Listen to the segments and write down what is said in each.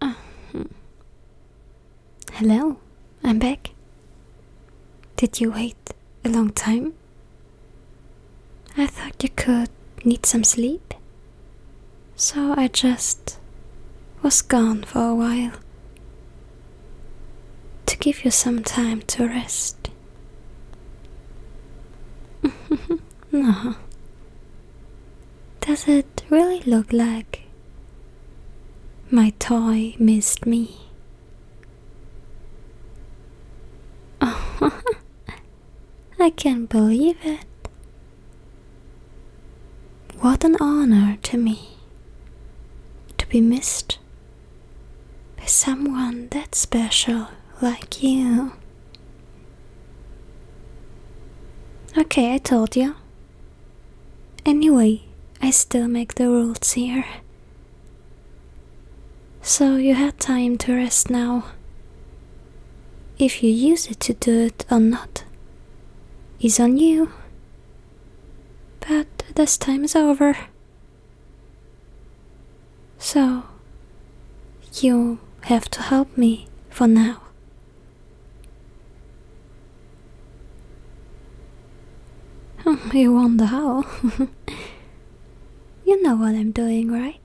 Ah, hmm. hello, I'm back. Did you wait a long time? I thought you could need some sleep. So I just was gone for a while to give you some time to rest. no. Uh-huh. Does it it really looked like my toy missed me. Oh, I can't believe it. What an honor to me to be missed by someone that special like you. Okay, I told you. Anyway, I still make the rules here. So you had time to rest now. If you use it to do it or not is on you. But this time is over. So you have to help me for now. you wonder how. you know what I'm doing, right?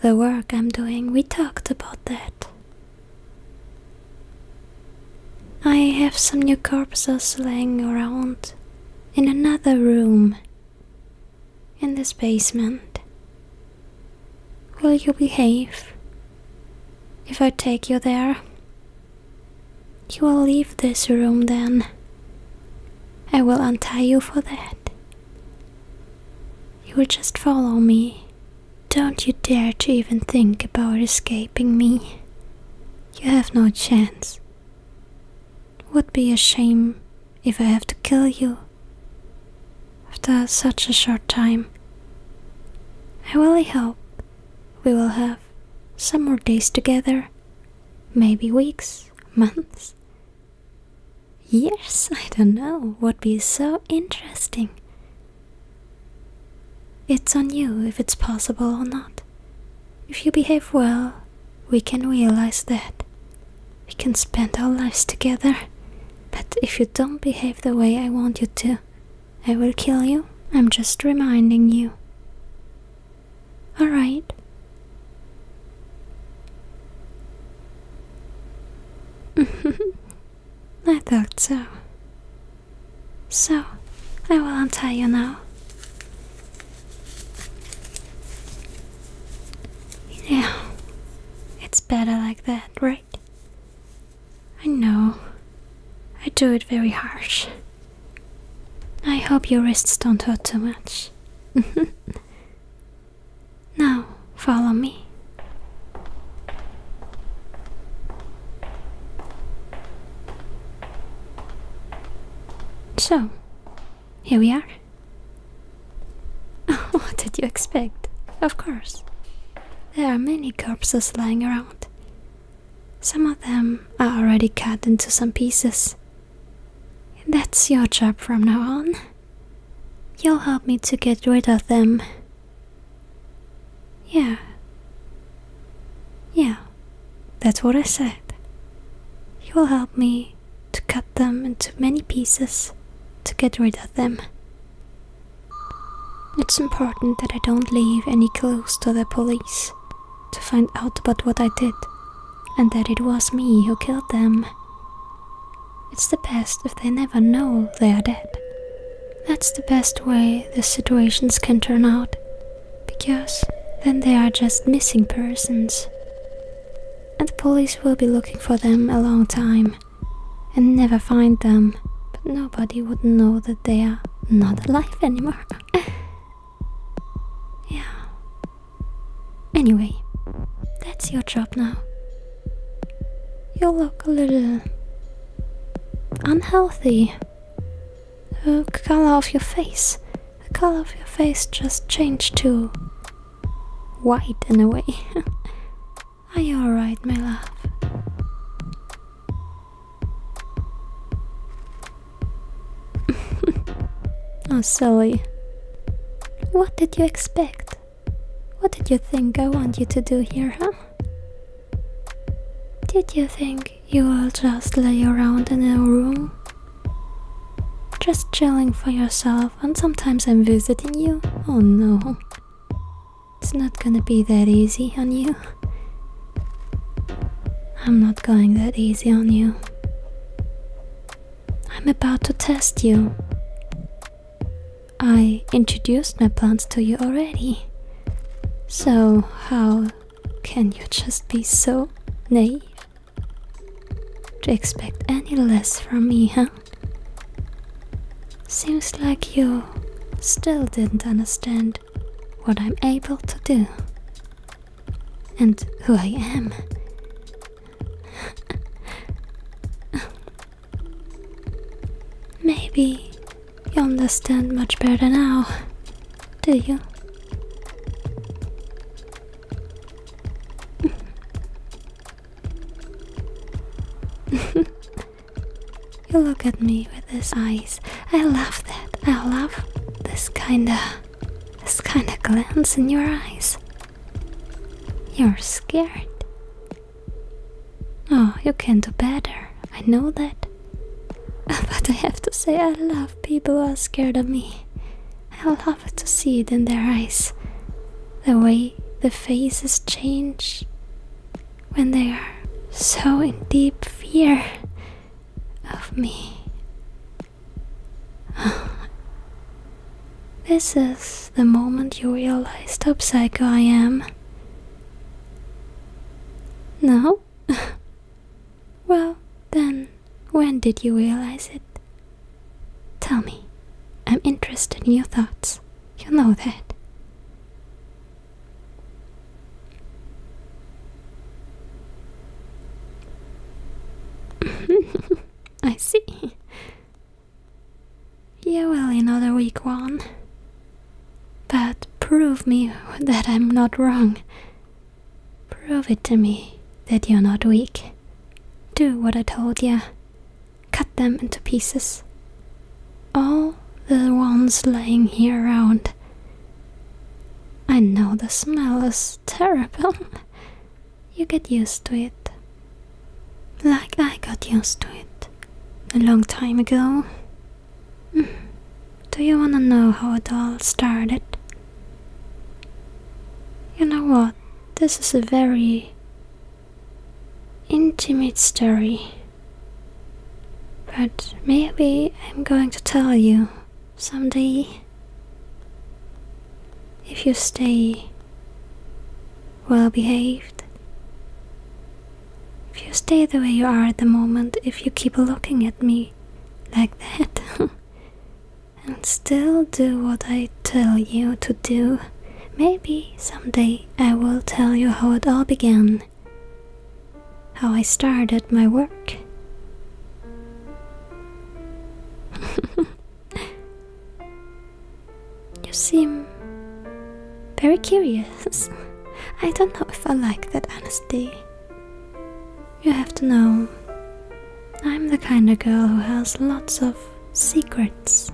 The work I'm doing, we talked about that. I have some new corpses laying around in another room in this basement. Will you behave if I take you there? You will leave this room then. I will untie you for that. You will just follow me. Don't you dare to even think about escaping me. You have no chance. would be a shame if I have to kill you after such a short time. I really hope we will have some more days together, maybe weeks, months, years, I don't know, would be so interesting. It's on you if it's possible or not. If you behave well, we can realize that. We can spend our lives together. But if you don't behave the way I want you to, I will kill you. I'm just reminding you. Alright. I thought so. So, I will untie you now. You it's better like that, right? I know. I do it very harsh. I hope your wrists don't hurt too much. now, follow me. So, here we are. what did you expect? Of course. There are many corpses lying around. Some of them are already cut into some pieces. That's your job from now on. You'll help me to get rid of them. Yeah. Yeah, that's what I said. You'll help me to cut them into many pieces to get rid of them. It's important that I don't leave any clues to the police to find out about what I did and that it was me who killed them. It's the best if they never know they are dead. That's the best way the situations can turn out, because then they are just missing persons. And the police will be looking for them a long time and never find them, but nobody would know that they are not alive anymore. yeah. Anyway, that's your job now. You look a little unhealthy. The color of your face. The color of your face just changed to white in a way. Are you alright, my love? oh, silly. What did you expect? What did you think I want you to do here, huh? Did you think you will just lay around in a room? Just chilling for yourself and sometimes I'm visiting you. Oh no. It's not gonna be that easy on you. I'm not going that easy on you. I'm about to test you. I introduced my plants to you already. So, how can you just be so naive to expect any less from me, huh? Seems like you still didn't understand what I'm able to do and who I am. Maybe you understand much better now, do you? you look at me with these eyes. I love that. I love this kinda this kinda glance in your eyes. You're scared. Oh, you can do better. I know that. But I have to say, I love people who are scared of me. I love to see it in their eyes the way the faces change when they are so in deep fear of me. this is the moment you realized how psycho I am. No? well, then, when did you realize it? Tell me, I'm interested in your thoughts. You know that. I see. You are will another weak one. But prove me that I'm not wrong. Prove it to me that you're not weak. Do what I told you cut them into pieces. All the ones lying here around. I know the smell is terrible. you get used to it. Like I got used to it a long time ago. Mm. Do you want to know how it all started? You know what? This is a very intimate story. But maybe I'm going to tell you someday if you stay well behaved. If you stay the way you are at the moment, if you keep looking at me like that and still do what I tell you to do. Maybe someday I will tell you how it all began, how I started my work. you seem very curious. I don't know if I like that honesty. You have to know, I'm the kind of girl who has lots of secrets,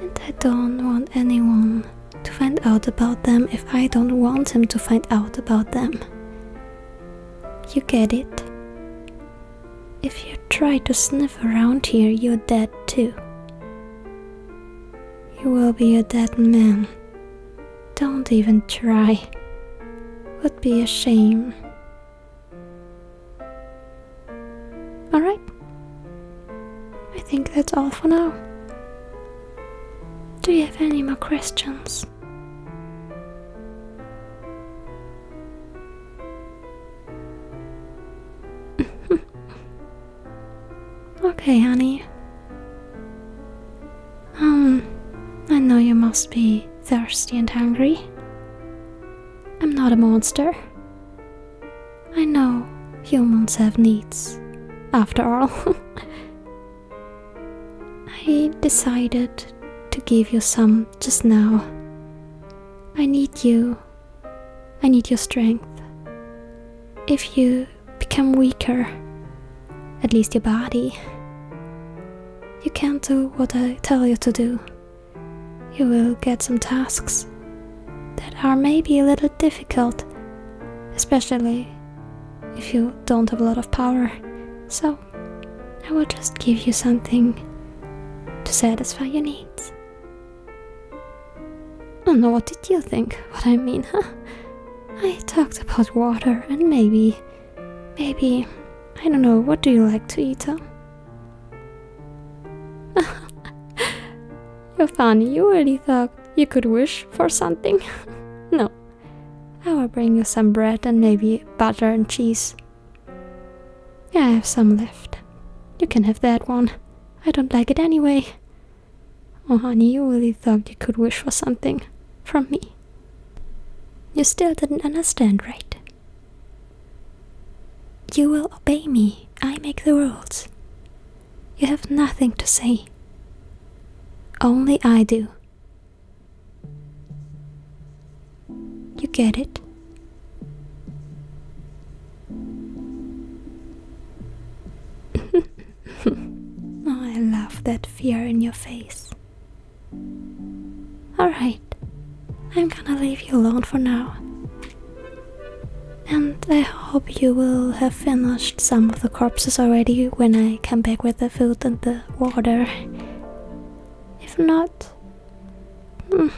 and I don't want anyone to find out about them if I don't want him to find out about them. You get it? If you try to sniff around here, you're dead too. You will be a dead man. Don't even try. Would be a shame Alright. I think that's all for now. Do you have any more questions? okay, honey. Um, I know you must be thirsty and hungry. I'm not a monster. I know humans have needs, after all. I decided to give you some just now. I need you. I need your strength. If you become weaker, at least your body, you can't do what I tell you to do. You will get some tasks that are maybe a little difficult, especially if you don't have a lot of power. So, I will just give you something to satisfy your needs. I don't know what did you think? What I mean, huh? I talked about water and maybe. Maybe. I don't know, what do you like to eat, huh? Yofani, you really thought you could wish for something? no. I will bring you some bread and maybe butter and cheese. I have some left. You can have that one. I don't like it anyway. Oh, honey, you really thought you could wish for something from me. You still didn't understand, right? You will obey me, I make the rules. You have nothing to say. Only I do. You get it? I love that fear in your face. Alright. I'm gonna leave you alone for now. And I hope you will have finished some of the corpses already when I come back with the food and the water. If not, hmm,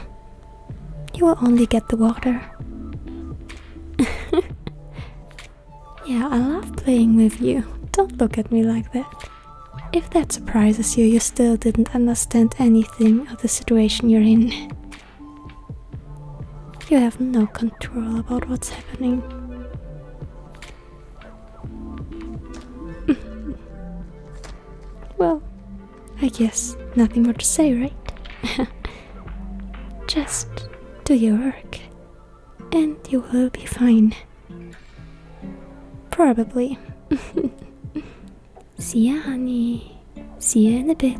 you will only get the water. yeah, I love playing with you. Don't look at me like that. If that surprises you, you still didn't understand anything anything of the situation you're in. You have no control about what's happening. well, I guess nothing more to say, right? Just do your work, and you will be fine. Probably. See ya, honey. See ya in a bit.